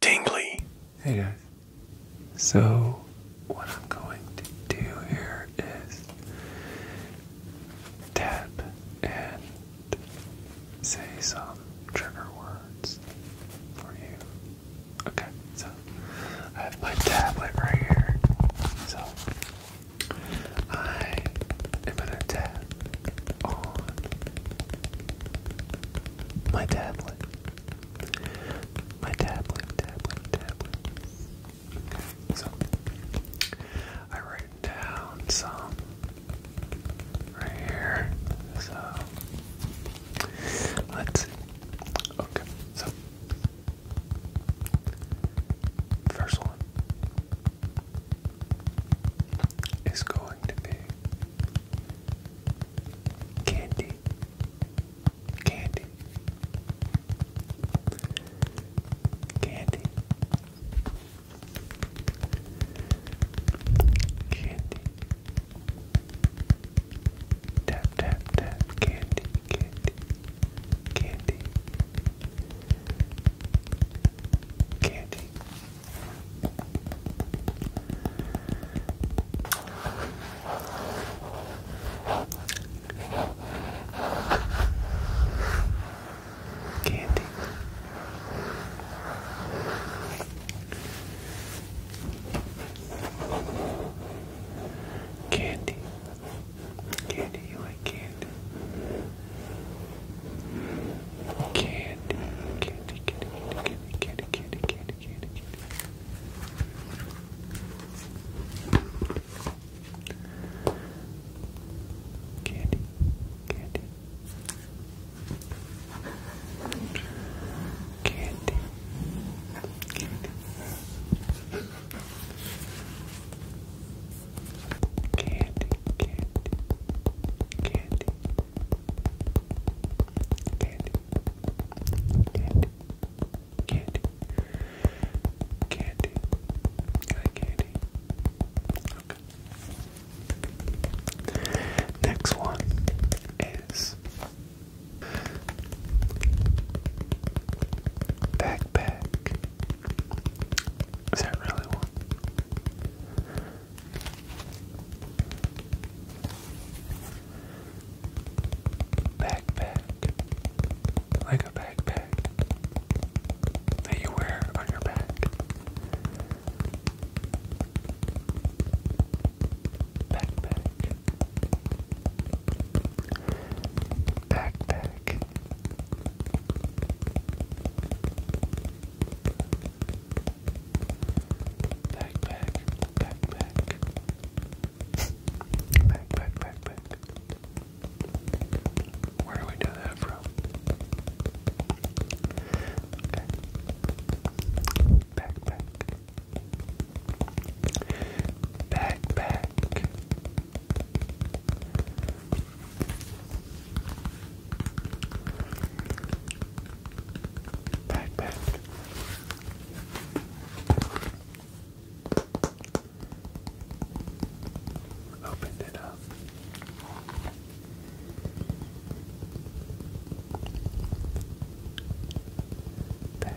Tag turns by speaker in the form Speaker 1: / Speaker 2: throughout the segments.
Speaker 1: tingly. Hey guys. So, what I'm going to do here is tap and say some trigger words for you. Okay, so I have my tablet right here. So, I am going to tap on my tablet. My tablet, tablet, tablet. Okay, so I write down some right here. So let's see. Okay, so first one is going to be Candy. Candy. Candy. Candy. Tap tap tap candy candy candy candy Candy. Candy. Candy, you like candy. Candy, candy, candy, kitty, kitty, kitty, kitty, kitty, kitty. Kitty, kitty. Kitty. Kitty. Candy, candy, candy, Candy. Candy. Candy. Candy. Can candy? Okay. Next one is backpack. Is that really one? Backpack. Like backpack that you wear on your back. Backpack. Backpack. Backpack, backpack. Backpack, backpack. Where do we do that from? Okay. Backpack. Backpack. Back, Opened it up. Back,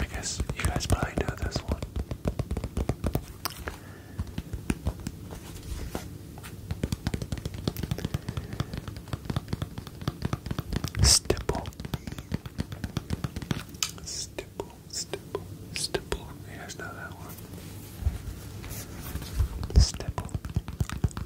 Speaker 1: I guess you guys probably know this one. Stipple. Stipple, stipple, stipple. You guys know that one. Stipple.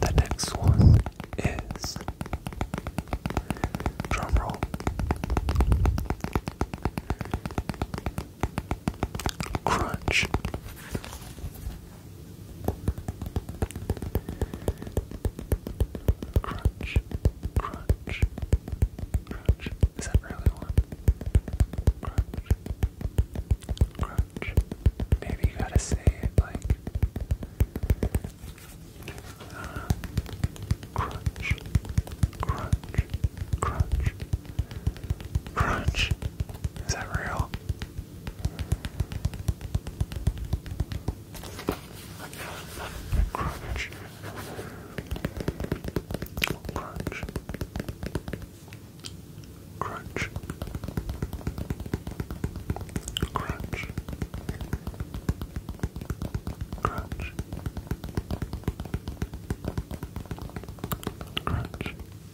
Speaker 1: The next one is drum roll. Crunch. Crunch, crunch, crunch. Is that really one? Crunch, crunch. Maybe you gotta say it like. crunch, crunch, crunch, crunch. Is that real? Crunch. Crunch. Crunch. Crunch. Crunch. Crunch.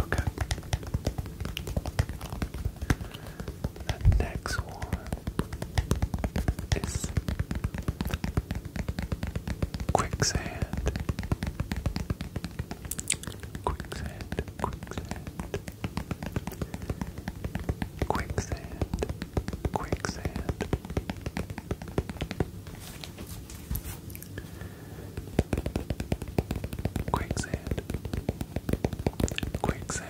Speaker 1: Okay. The next one is quicksand. Quicksand, quicksand, quicksand, quicksand. Quicksand. Quicksand. Quicksand.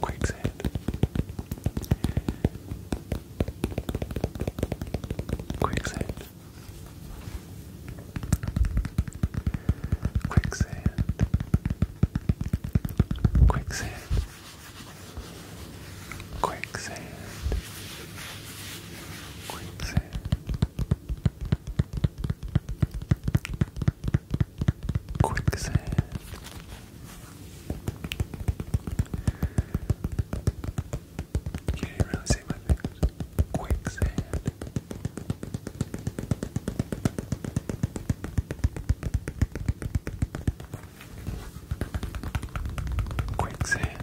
Speaker 1: Quicksand. Quicksand. Quicksand. Quicksand. Quicksand. Quicksand. You didn't really see my fingers. Quicksand. Quicksand.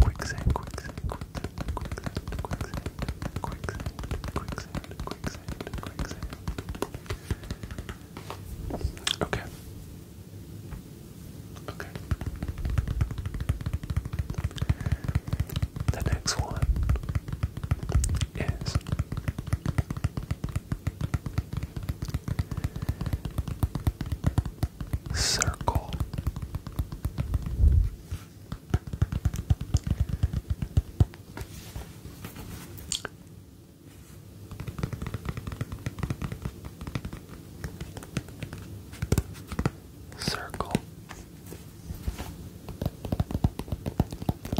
Speaker 1: Quicksand, quicksand, quicksand, quicksand, quicksand, quicksand, quicksand, quicksand, quicksand. Okay. Okay. The next one is Circle. Circle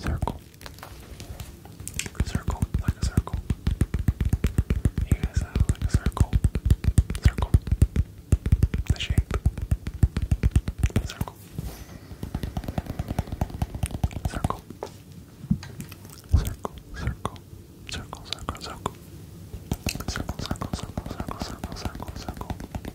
Speaker 1: Circle. Circle, like a circle. You guys like a circle. Circle. The shape. Circle. Circle, circle. Circle, circle, circle. Circle, circle, circle, circle, circle, circle, circle.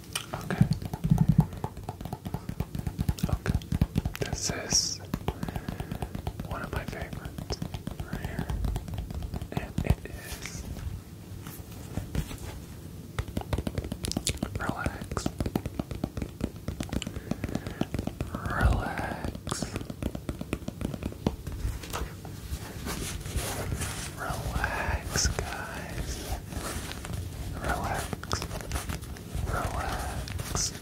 Speaker 1: Okay. Okay. This is one of my favorites right here. And it is relax. Relax. Relax, guys relax, relax,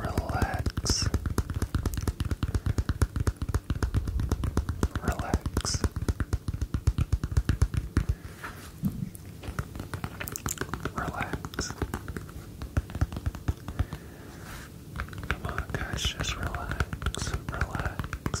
Speaker 1: relax, relax. Relax. Come on, guys, just relax, relax,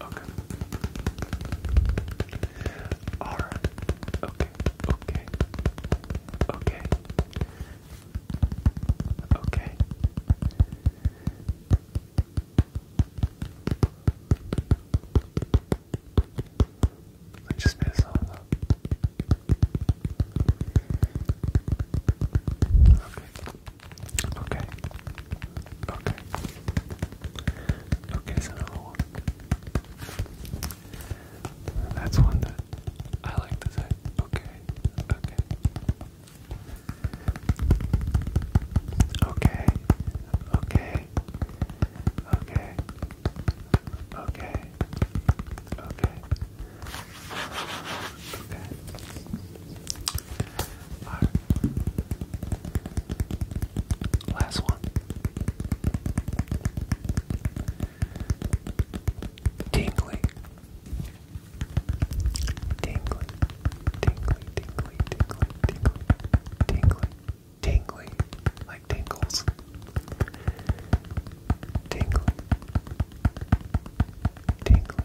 Speaker 1: Okay. Alright. Okay. Okay. Okay. Okay. I just made a song though. Okay. Okay. Okay. Okay, That's one that I like to say. Okay. Okay. Okay. Okay. Okay. Okay. Okay. Last one. Tingly. Tingly. Tingly, tingly, tingly, tingly, tingly, like tingles. Tingly. Tingly.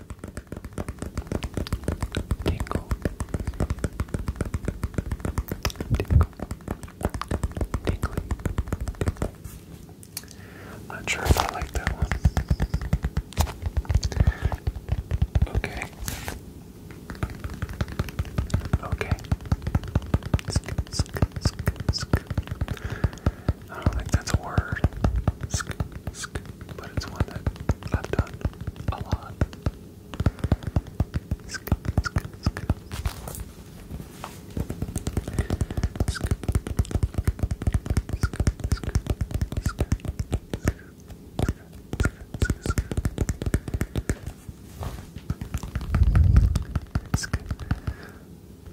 Speaker 1: Tingle. Tingle. Tingly. Not sure if I like that one. Okay. Okay. Sk, sk, sk, sk. I don't think that's a word, but it's one that I've done a lot.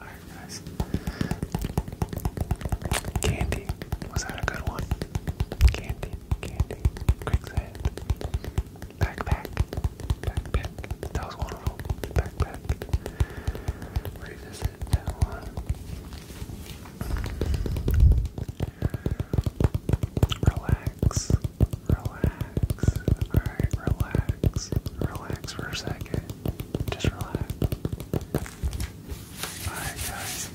Speaker 1: Alright, guys. Candy. Was that a good one? Candy, candy. Quicksand. Backpack. Backpack. That was one of them. Backpack. Revisit one. Relax. Relax. Alright, relax. Relax for a second. Just relax. Alright, guys.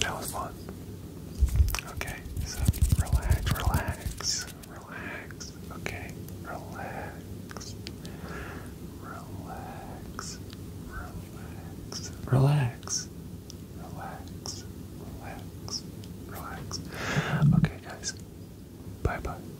Speaker 1: That was fun. Okay, so relax, relax, relax. Okay, relax. Relax, relax, relax, relax, relax, relax. Okay, guys. Bye bye.